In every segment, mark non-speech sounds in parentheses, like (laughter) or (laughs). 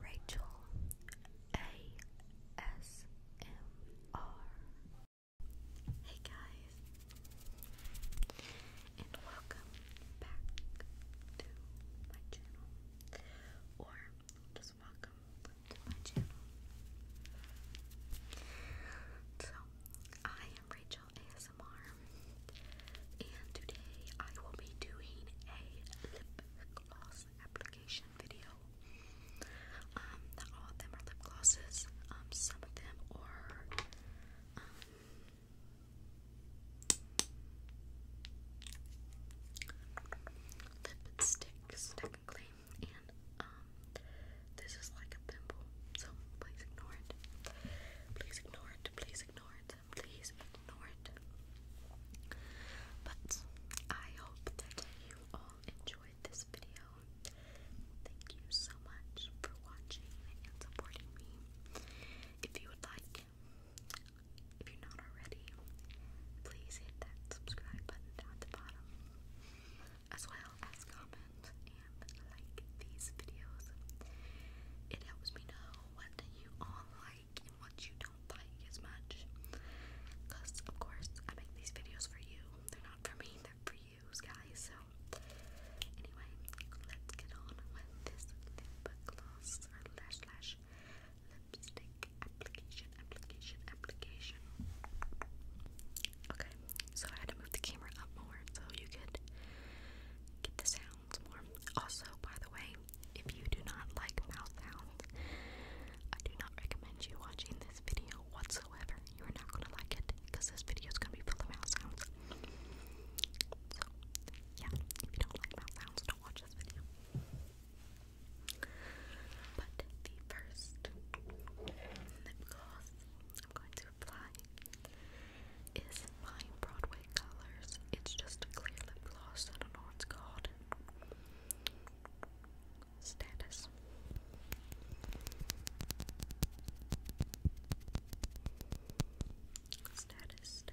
Rachel ASMR. Hey guys, and welcome back to my channel, or just welcome to my channel. So, I am Rachel ASMR, and today I will be doing a lip lip gloss application video. Um, all of them are lip glosses. Um, some of them are um, lipsticks technically, and um, this is like a thimble, so please ignore it. Please ignore it. Please ignore it please ignore it. But I hope that you all enjoyed this video. Thank you so much for watching and supporting me. If you would like, if you're not already, please hit that subscribe button at the bottom, as well as comment and like these videos. It helps me know what you all like what you don't like as much. Because, of course, I make these videos for you. They're not for me, they're for you guys. So, anyway, let's get on with this lip gloss lash lash lipstick application, application, application. Okay, so I had to move the camera up more so you could get the sounds more. Also, by the way, if you do not like mouth sounds, I do not recommend you watching this video whatsoever. You are not gonna like it because this video is gonna be full of mouth sounds. So, yeah, if you don't like mouth sounds, don't watch this video. But the first lip gloss I'm going to apply is fine Broadway colors. It's just a clear lip gloss. I don't know what's called. status, status. Status.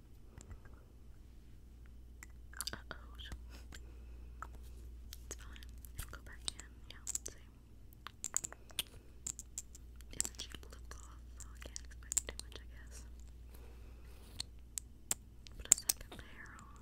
Uh oh. It's fine. It'll go back in. Yeah, same. It's a cheap lip gloss, so I can't expect too much, I guess. Put a second layer on.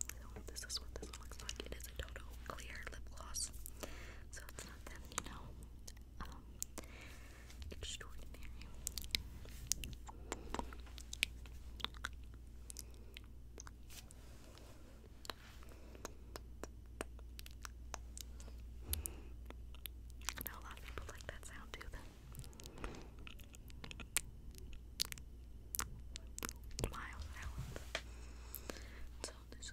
So this is what this looks like. It is a Toto clear lip gloss. So it's not that, you know, um, extraordinary. I know a lot of people like that sound too, then. Miles Island. So this is.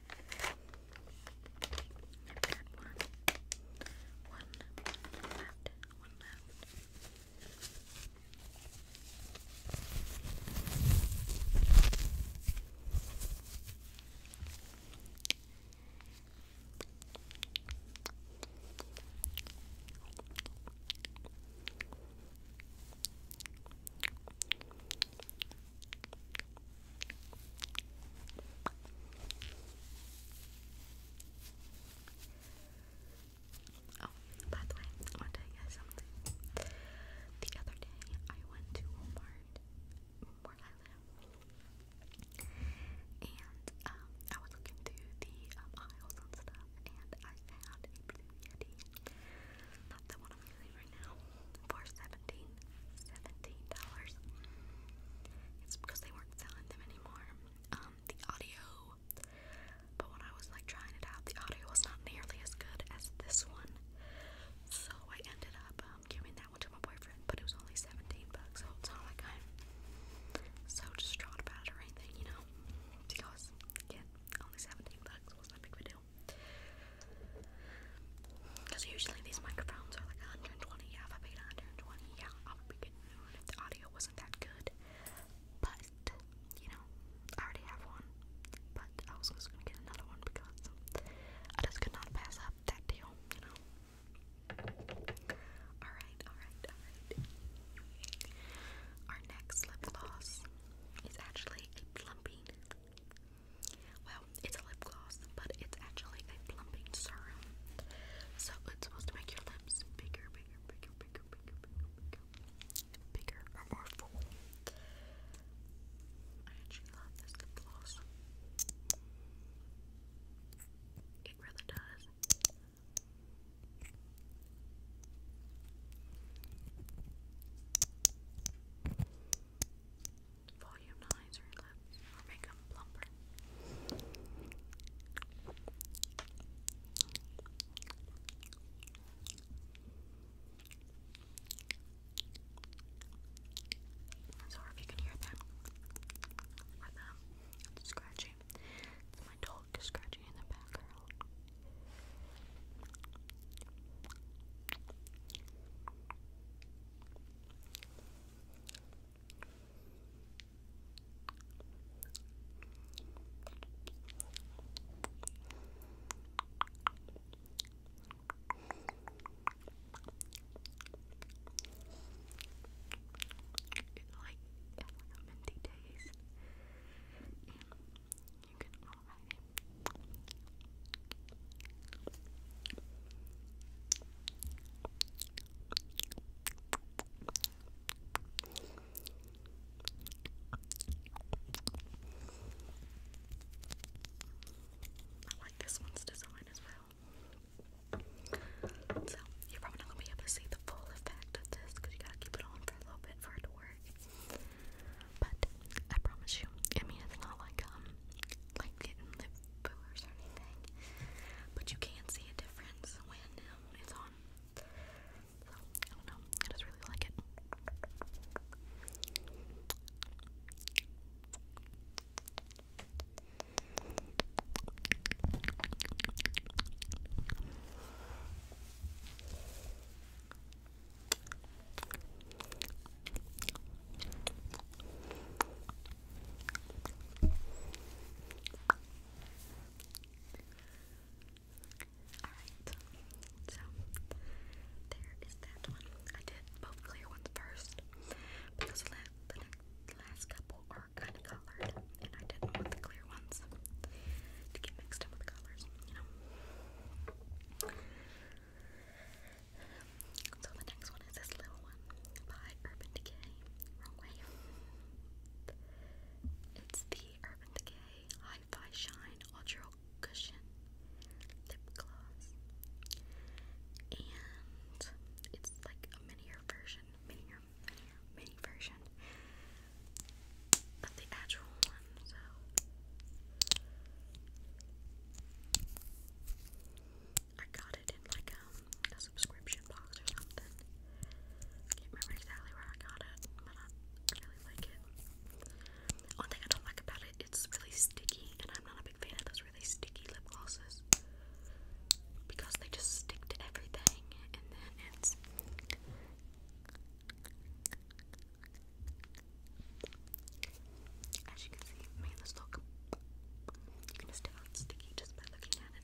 Not that one. One, one left, one left. Oh, by the way, I want to tell you guys something. The other day, I went to Walmart, where and um, I was looking through the um, aisles and stuff, and I found a blue Yeti. Not the one for $17. It's because they weren't selling them anymore. Um, the audio, but when I was like trying it out, the audio was not nearly as good as this one. So I ended up um, giving that one to my boyfriend, but it was only 17 bucks, so it's not like I'm so distraught about it or anything, you know? Because, again, only 17 bucks wasn't a big of do. Because usually these microphones are like 120. Yeah, I paid 120, yeah, I'll be getting the audio wasn't that good. But, you know, I already have one. But I was just gonna get another one because I just could not pass up that deal, you know. Alright, alright, alright. Our next lip gloss is actually a plumping well, it's a lip gloss, but it's actually a plumping serum. So it's supposed to make your lips bigger, bigger, bigger, bigger, bigger, bigger, bigger, bigger or more full. I actually love this gloss. It really does. Volumize her lips or make them sorry if you can hear them. Or them scratching. It's my dog scratching in the background like, like a minty taste. You I like this one's design as well. you're probably not going to be able to see the full effect of this because you got to keep it on for a little bit for it to work. But I promise you, I mean it's not like um like getting lip fillers or anything. But you can see a difference when um, it's on. So I don't know. I just really like it. Alright, so there is that one. I did both clear ones first because the, last couple are kind of colored, and I didn't the clear ones to get mixed up with colors, you know. So the next one is this little one by Urban Decay. It's the Urban Decay High fi Shine Ultra Cushion Lip Gloss. And it's like a minier version. Minier, minier, mini version but the actual one, so. I got it in like um, a subscription box or something. can't remember exactly where I got it, but I really like it. One thing I don't like about it, it's really sticky, and I'm not a big fan of those really sticky lip glosses because they just stick to everything, and then it's as you can see, man, this look. You can just tell it's sticky just by looking at it.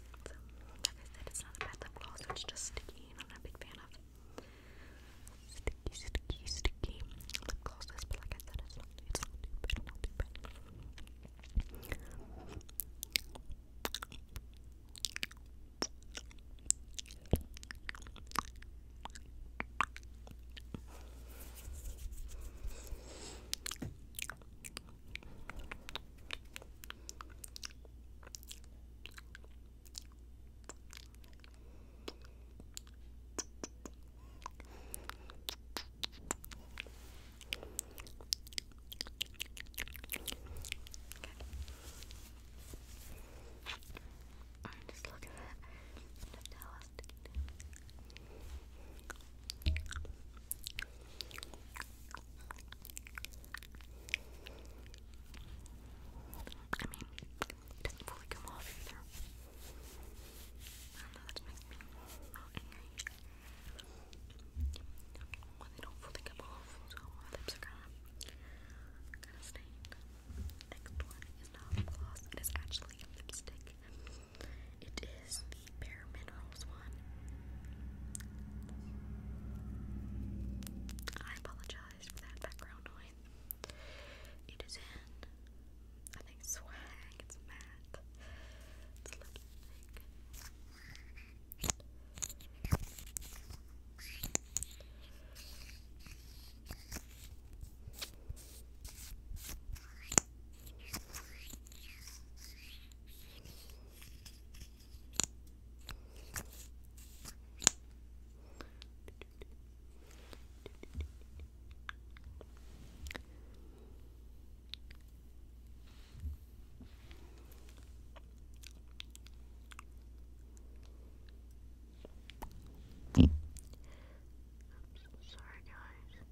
So, like I said, it's not a bad lip gloss, it's just sticky, and I'm not a big fan of sticky, sticky, sticky lip glosses, but like I said, it's not, it's not too bad, not too bad. Or just look at that. Just tell us to do. I mean, it doesn't fully come off either. I know, that makes me angry. Well, they don't fully come off, so my kind of, kind of stained. Next one is not gloss, it is actually lipstick. It is Bare Minerals one. I apologize for that background noise. It is in, I think, swag. It's matte. It's lipstick. I'm so sorry, guys.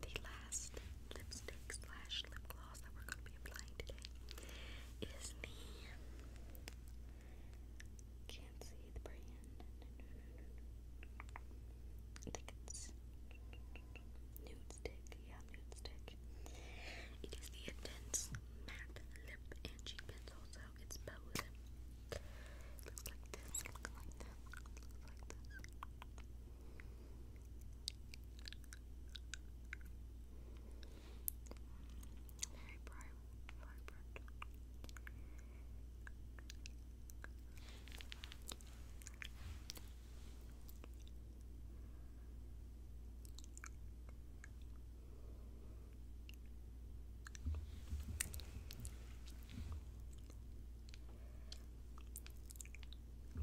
The last lipstick slash lip gloss that we're going to be applying today is the can't see the brand. it's nude stick. Yeah, nude stick. It is the intense matte lip and cheek pencil, so it's both. looks like this. Looks like this. Looks like this. Very bright, vibrant know.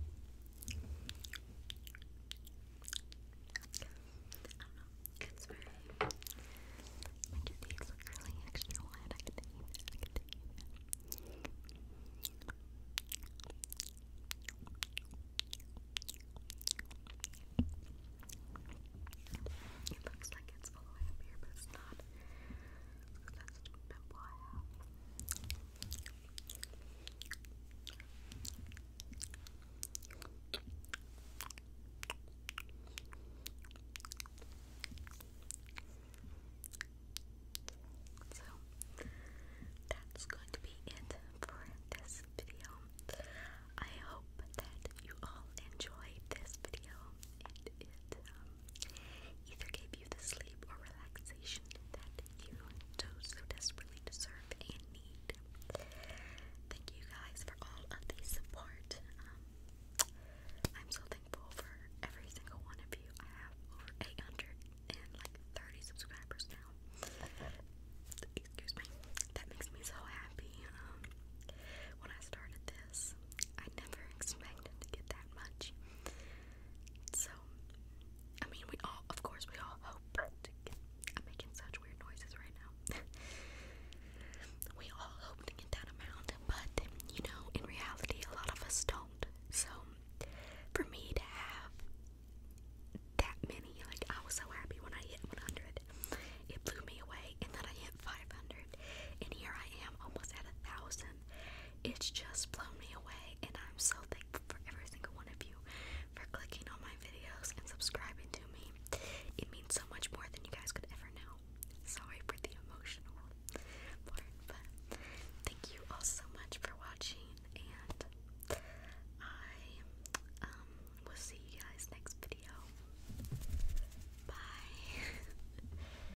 It's very. Which of these look really extra wide? I could take I could take It looks like it's all up here, but it's not. That's a bit wide. So that's going to be it for this video. I hope that you all enjoyed this video and um, either gave you the sleep or relaxation that you so, desperately deserve and need. Thank you guys for all of the support. Um, I'm so thankful for every single one of you. I have over 800 and like 30 subscribers now. Excuse me. That makes me so happy. Um, when I started this, I never expected to get that much. So, I mean, we all, of course, we all hope I'm making such weird noises right now. (laughs) we all hope to get that amount, but you know, in reality, a lot of us don't. So, for me to have that many, like, I was so happy when I hit 100. It blew me away, and then I hit 500, and here I am almost at a thousand. It's just blown me away, and I'm so thankful for every single one of you for clicking on my videos and subscribing to me. It means so much more than you guys could ever know. Sorry for the emotional part, but thank you all so much for watching, and I um, will see you guys next video. Bye. (laughs)